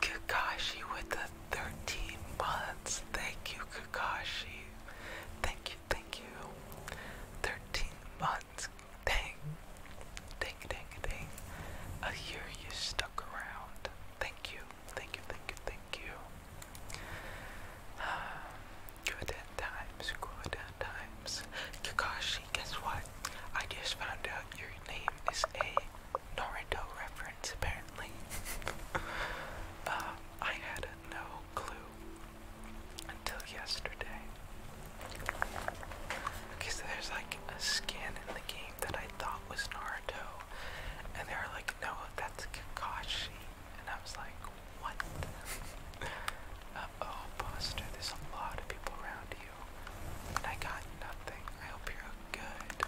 Kakashi with the 13 months. Thank you, Kakashi. Thank you, thank you. 13 months. Dang. Ding, ding, ding. I hear you stuck around. Thank you, thank you, thank you, thank you. Uh, good times, good times. Kakashi, guess what? I just found out your name is a Naruto reference, apparently. Uh, I had no clue until yesterday. Okay, there's like a skin in the game that I thought was Naruto, and they are like, no, that's Kakashi. And I was like, what? Uh oh, Buster, there's a lot of people around you. I got nothing. I hope you're good.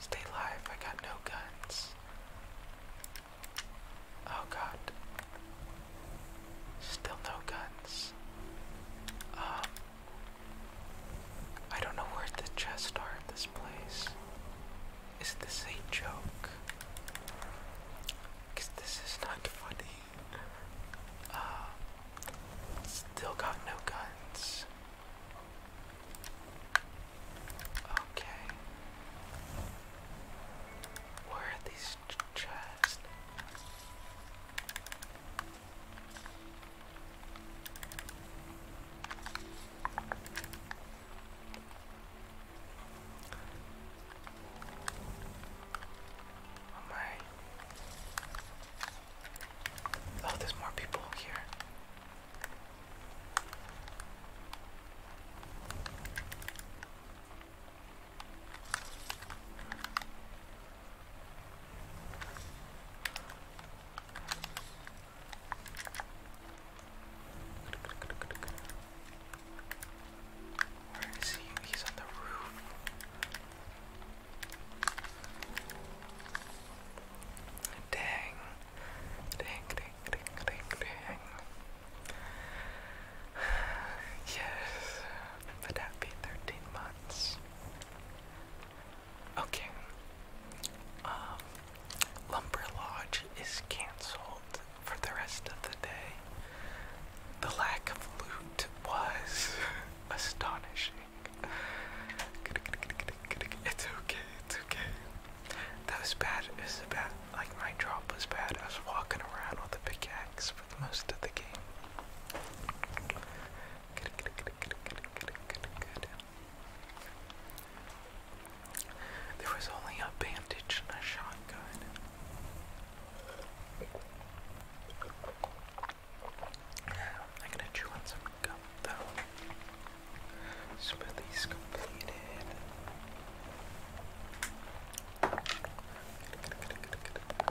Stay alive. I got no guns. Oh god. Still no guns. Um. I don't know where the chests are at this place. Is this a joke? Because this is not funny. Uh, still got no guns. Okay. Where are these chests? Am I Oh, there's more people here. Where is he? He's on the roof. Dang. Dang, dang, dang, dang, dang. Yes. Would that be 13 months? Okay. Um, Lumber Lodge is cancelled for the rest of the day. The lack of loot was astonishing. It's okay, it's okay. That was bad. It was bad. Like my drop was bad. I was walking around with a pickaxe for most of the game. There was only a bandage and a shotgun. I'm gonna chew on some gum though. Smoothies completed.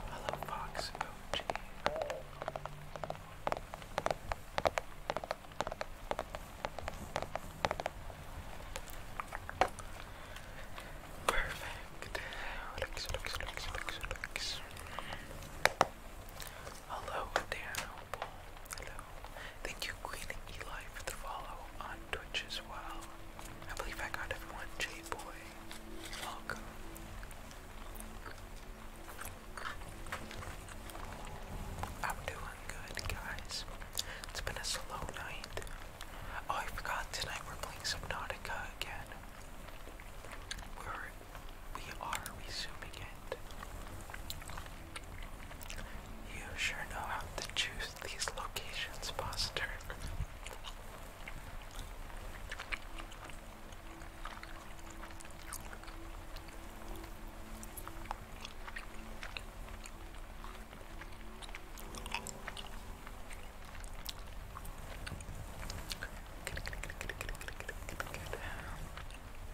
Hello, Fox OG. Perfect. Relax, relax, relax, relax, relax. Hello, Dan Hello. Thank you, Queen Eli, for the follow on Twitch as well. I believe I got everyone. J Boy, welcome. I'm doing good, guys. It's been a slow night. Oh, I forgot tonight we're playing Subnautica again. We're, we are resuming it. You sure know how to choose these locations, Buster.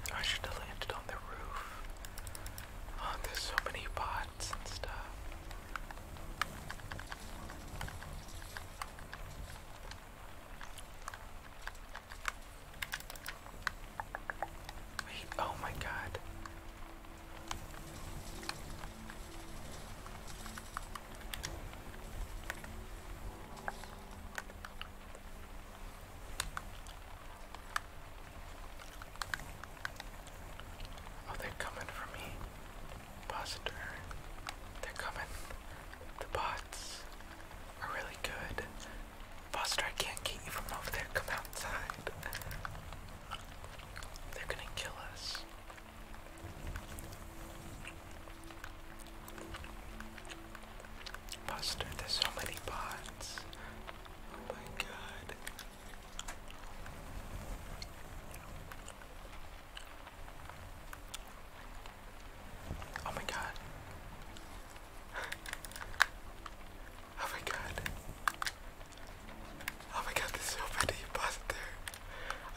Oh, I should have landed on the roof. Oh, there's so many pots and stuff. Wait, oh my god. Oh, they're coming for me. Positor. They're coming. The bots are really good. Foster, I can't get you from over there. Come outside. They're gonna kill us. Buster, there's so many pods. Oh my god. Oh my god. oh my god. Oh my god, there's so many Buster.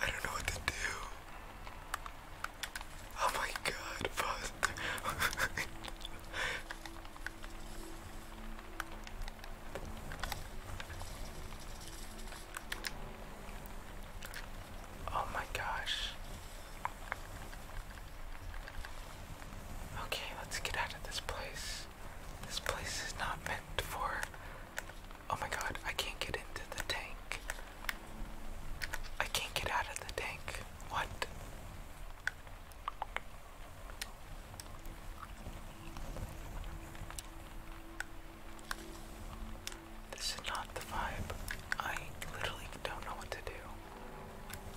I don't know what to do. Oh my god, Foster. oh my gosh. Okay, let's get out of this place. This place is not for. Oh my god, I can't get into the tank. I can't get out of the tank. What? This is not the vibe. I literally don't know what to do.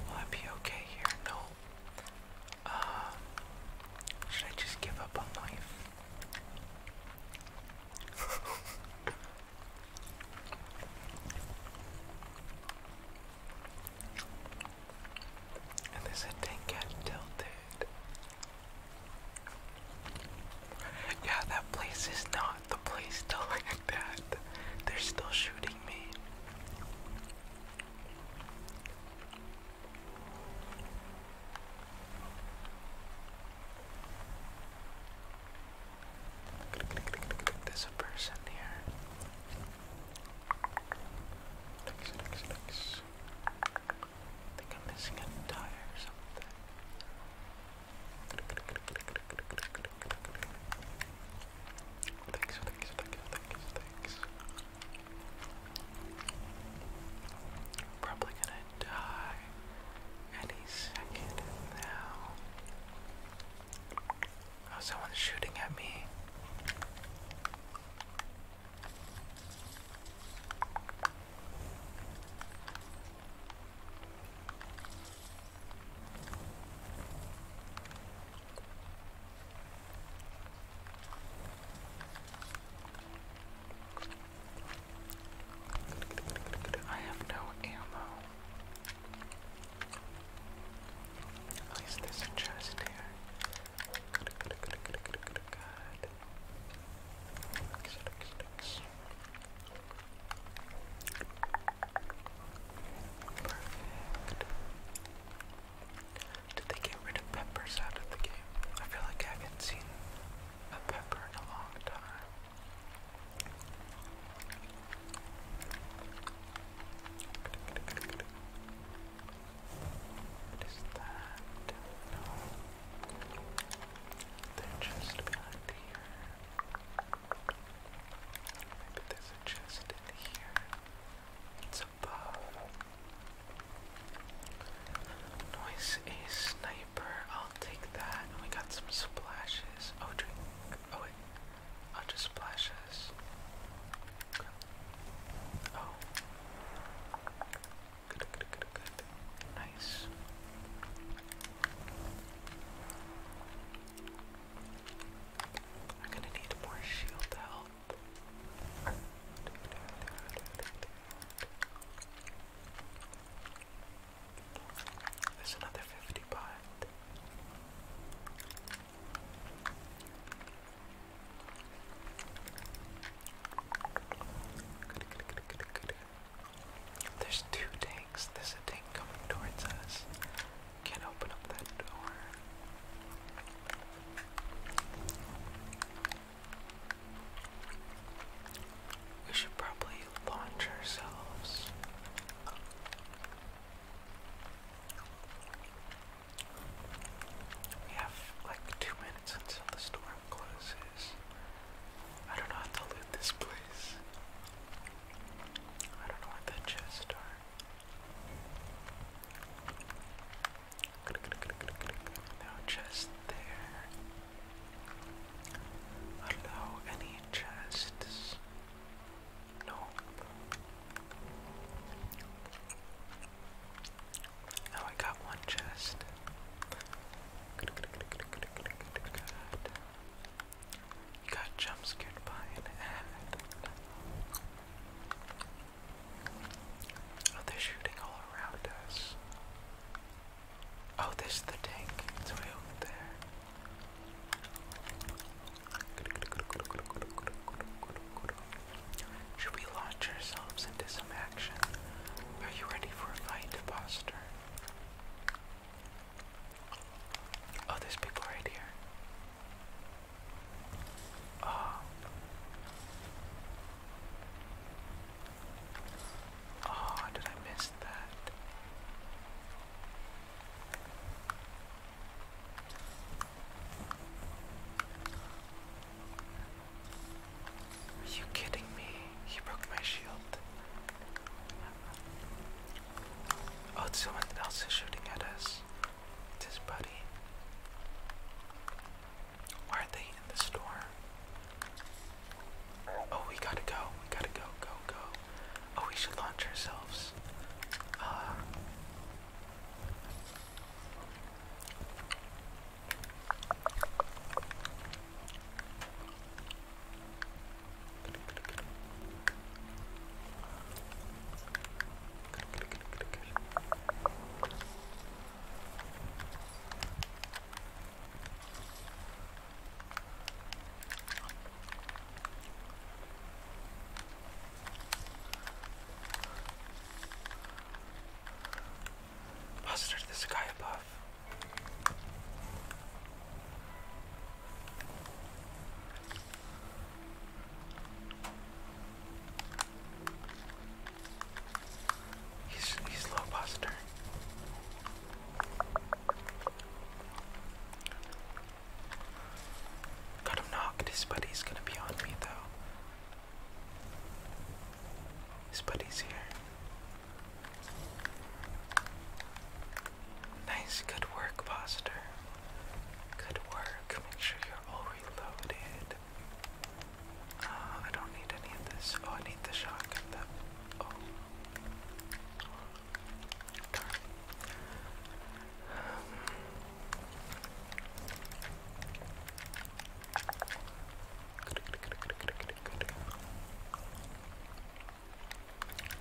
Will I be okay here? No. Uh, should I just give up on life? and there's a thing tilted. Yeah, that place is not the place to land at. They're still shooting me. There's a person here. Looks, looks, looks. think I'm missing a tie or something. thanks, thanks, thanks. Probably gonna die any second now. Oh, someone's shooting at me. I have no ammo. At least there's here. Did they get rid of peppers out of the game? I feel like I haven't seen a pepper in a long time. What is that? They're just behind here. Maybe there's a chest in here. It's above. Noise a sniper. I'll take that. we got some splashes. Oh, drink. Oh, wait. I'll oh, just splash Oh. Good, good, good, good. Nice. I'm gonna need more shield health. There's another fifty pot. There's two tanks. There's a tank coming towards us. Can't open up that door. We should probably launch ourselves. We have like two minutes until the storm closes. I don't know how to loot this place. I don't know what the chests are. No chest there. Allow any chests. No. Now I got one chest. You got jump by an ad. Oh, they're shooting all around us. Oh, there's the tank. It's way over there. Should we launch ourselves into some action? Are you ready for a fight, Buster? Oh, there's people right here. Oh. Oh, did I miss that? Are you kidding me? He broke my shield. Oh, it's someone else is shooting at us. It's his buddy. Why are they in the store? Oh, we gotta go. We gotta go, go, go. Oh, we should launch ourselves. Uh, Buster, this guy above. He's he's low buster. Got him buddy's gonna be on me though. His buddy's here. Nice, good work, Buster. Good work. Make sure you're all reloaded. Uh, I don't need any of this. Oh, I need the shotgun. Oh.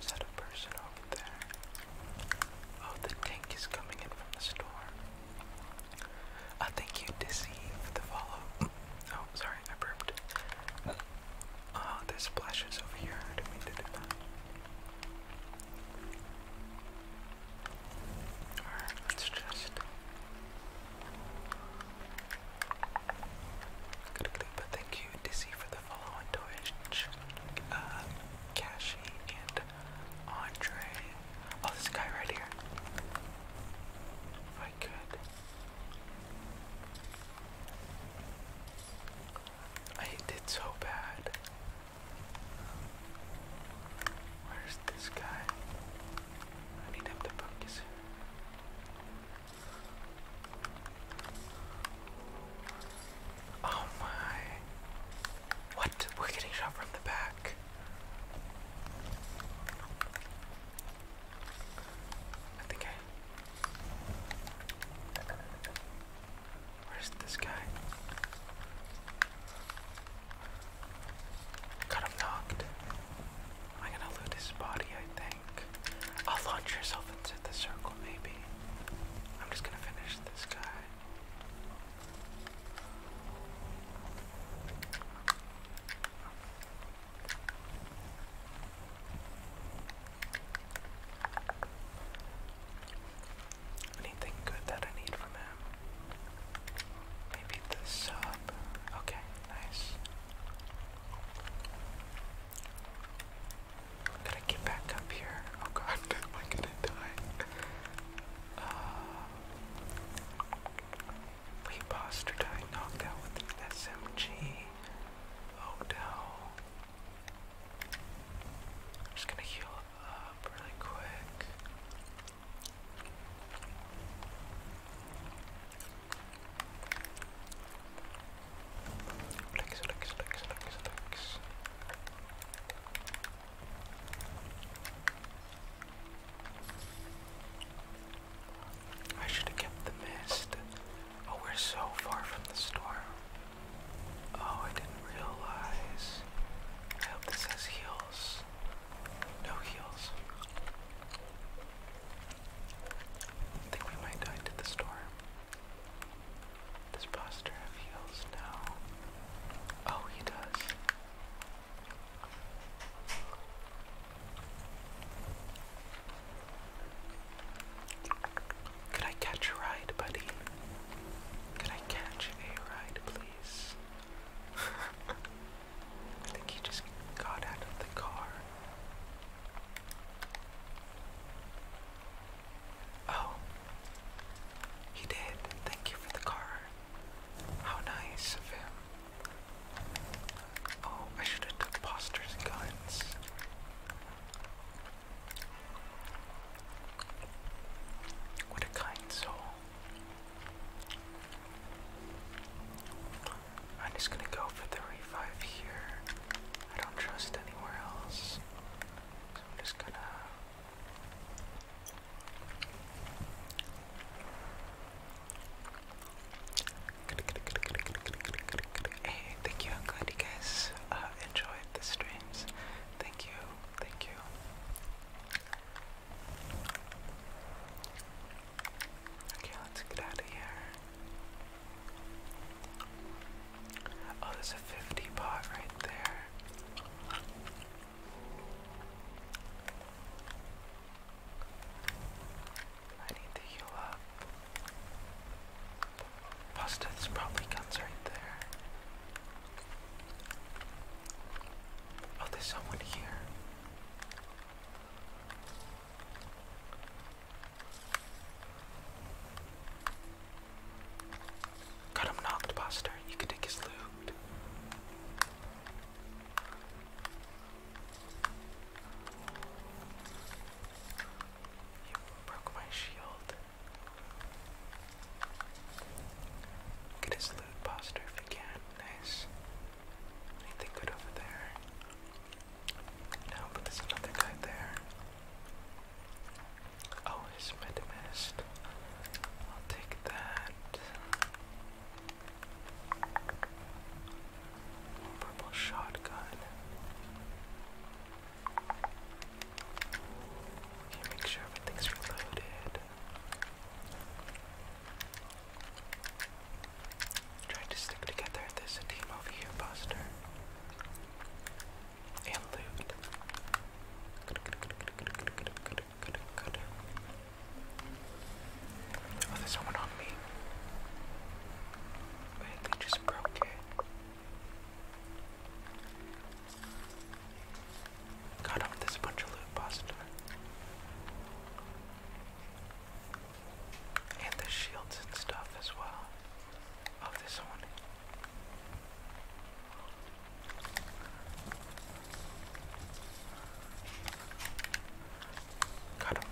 Is that a person over there? Oh, the tank is coming in from the storm. I think you deceive the follow. Oh, sorry, I burped. Oh, ah, there's splashes over here. I didn't mean to do that. Alright, let's just. Good, good, but thank you, Dizzy, for the follow on Twitch, um, uh, Cashy, and Andre. Oh, this guy right here. If I could. I did so bad. Where's this guy? I need him to focus. Oh my. What? We're getting shot from the back. I think I. Where's this guy? Got him knocked. Am gonna loot his body? I think. I'll launch yourself into the circle, maybe. I'm just gonna finish this guy. Anything good that I need from him? Maybe the sub. Okay, nice. Gotta get back up here. Oh god, am I gonna die? Uh, we bastard I knocked out with an SMG. Oh I'm just gonna heal up really quick. Lex, Lex, Lex, Lex, Lex. I should have kept the mist. Oh, we're so far from the storm. Oh, I didn't realize. I hope this has heels. No heels. I think we might die to the storm. Does Buster have heels? No. Oh, he does. Could I catch a ride, buddy? Could I catch a ride, please? I think he just got out of the car. Oh. He did. Thank you for the car. How nice of him. Oh, I should have took Poster's guns. What a kind soul. I'm just gonna go for the revive here. I don't trust anywhere else. So I'm just gonna thank you. I'm glad you guys uh, enjoyed the streams. Thank you. Thank you. Okay, let's get out of here. Oh, there's a 50 pot right there. I need to heal up. Busted's probably guns right there. Oh, there's someone here. Got him knocked, Buster. You can take his loot. You broke my shield. Get his loot, Buster, if you can. Nice. Anything good over there? Now, but there's another guy there. Oh, it's Metamist. I'll take that. Purple shotgun. make sure everything's reloaded. Trying to stick together. There's a team over here, Buster and Oh, there's someone on me. they just broke it. Got off this bunch of loot pasta. And the shields and stuff as well. Oh, this one. Got him.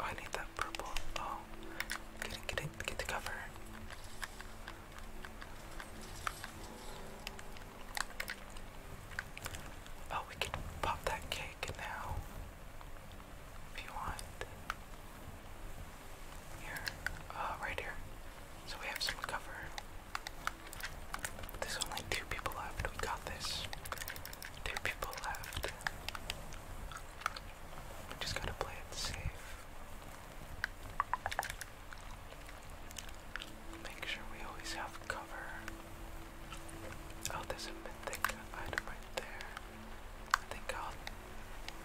I need that purple. Oh, get it, get it, get the cover. Oh, we can pop that cake now if you want. Here, uh, right here. So we have some cover. There's only two people left. We got this. Two people left. We just gotta play it safe. Make sure we always have cover. Oh, there's a mythic item right there. I think I'll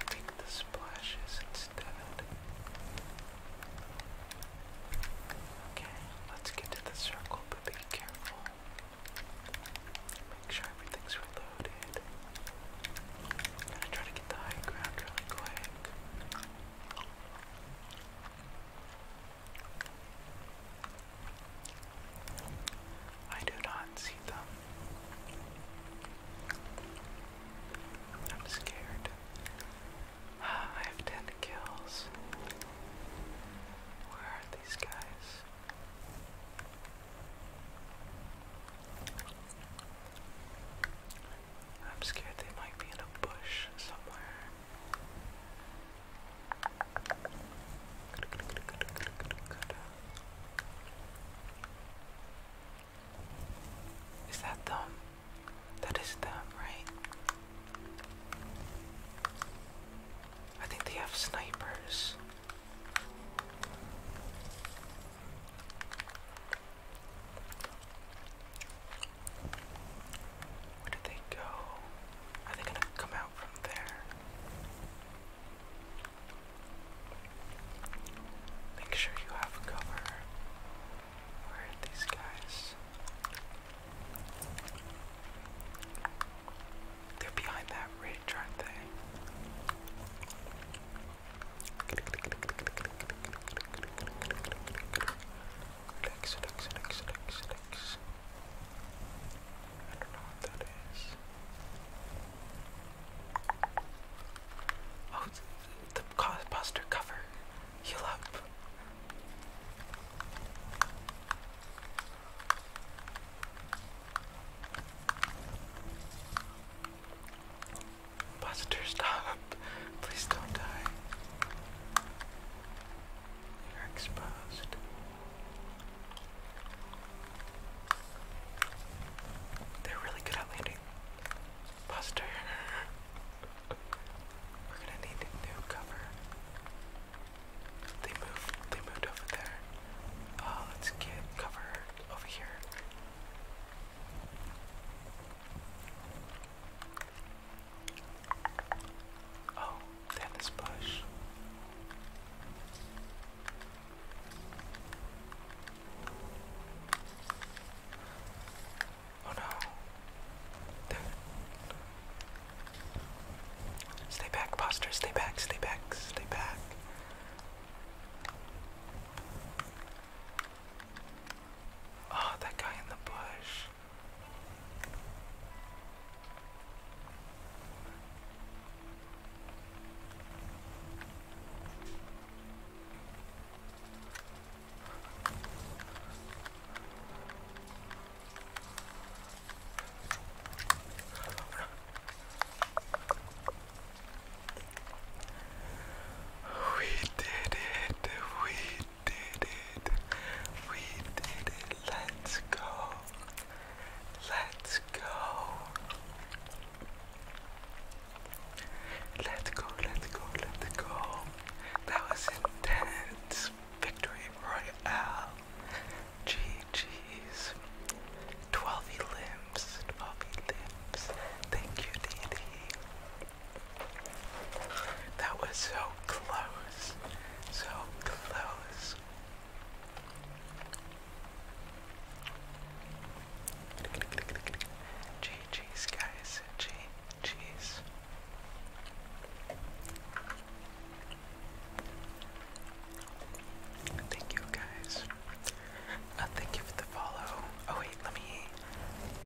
take the splashes instead. Okay, let's get to the circle, but be careful. Make sure everything's reloaded. i to try to get the high ground really quick. I do not see them. I'm scared. Ah, I have 10 kills. Where are these guys? I'm scared they might be in a bush somewhere. Is that them? That is them, right? I think they have snipers. Where did they go? Are they gonna come out from there? Make sure you have cover. Where are these guys? They're behind that ridge, aren't they? Relax, relax, relax, relax, relax. I don't know what that is. Oh, the, poster cover. Heal up. Buster, stop. Please don't die. You're exposed. They're really good at landing. Buster. We're gonna need new cover. They moved they moved over there. Uh let's get cover over here. Oh, they bush. Oh no. Stay back, posture, stay back, stay back, stay back. Oh, that guy in the bush. We did it. We did it. We did it. Let's go. Let's go. Let's go, let's go, let's go. That was intense. Victory Royale. GG's. 12 limbs. 12 limbs. Thank you, Dee that was so close. So close. GG's, guys. GG's. Thank you, guys. Uh, thank you for the follow. Oh, wait, let me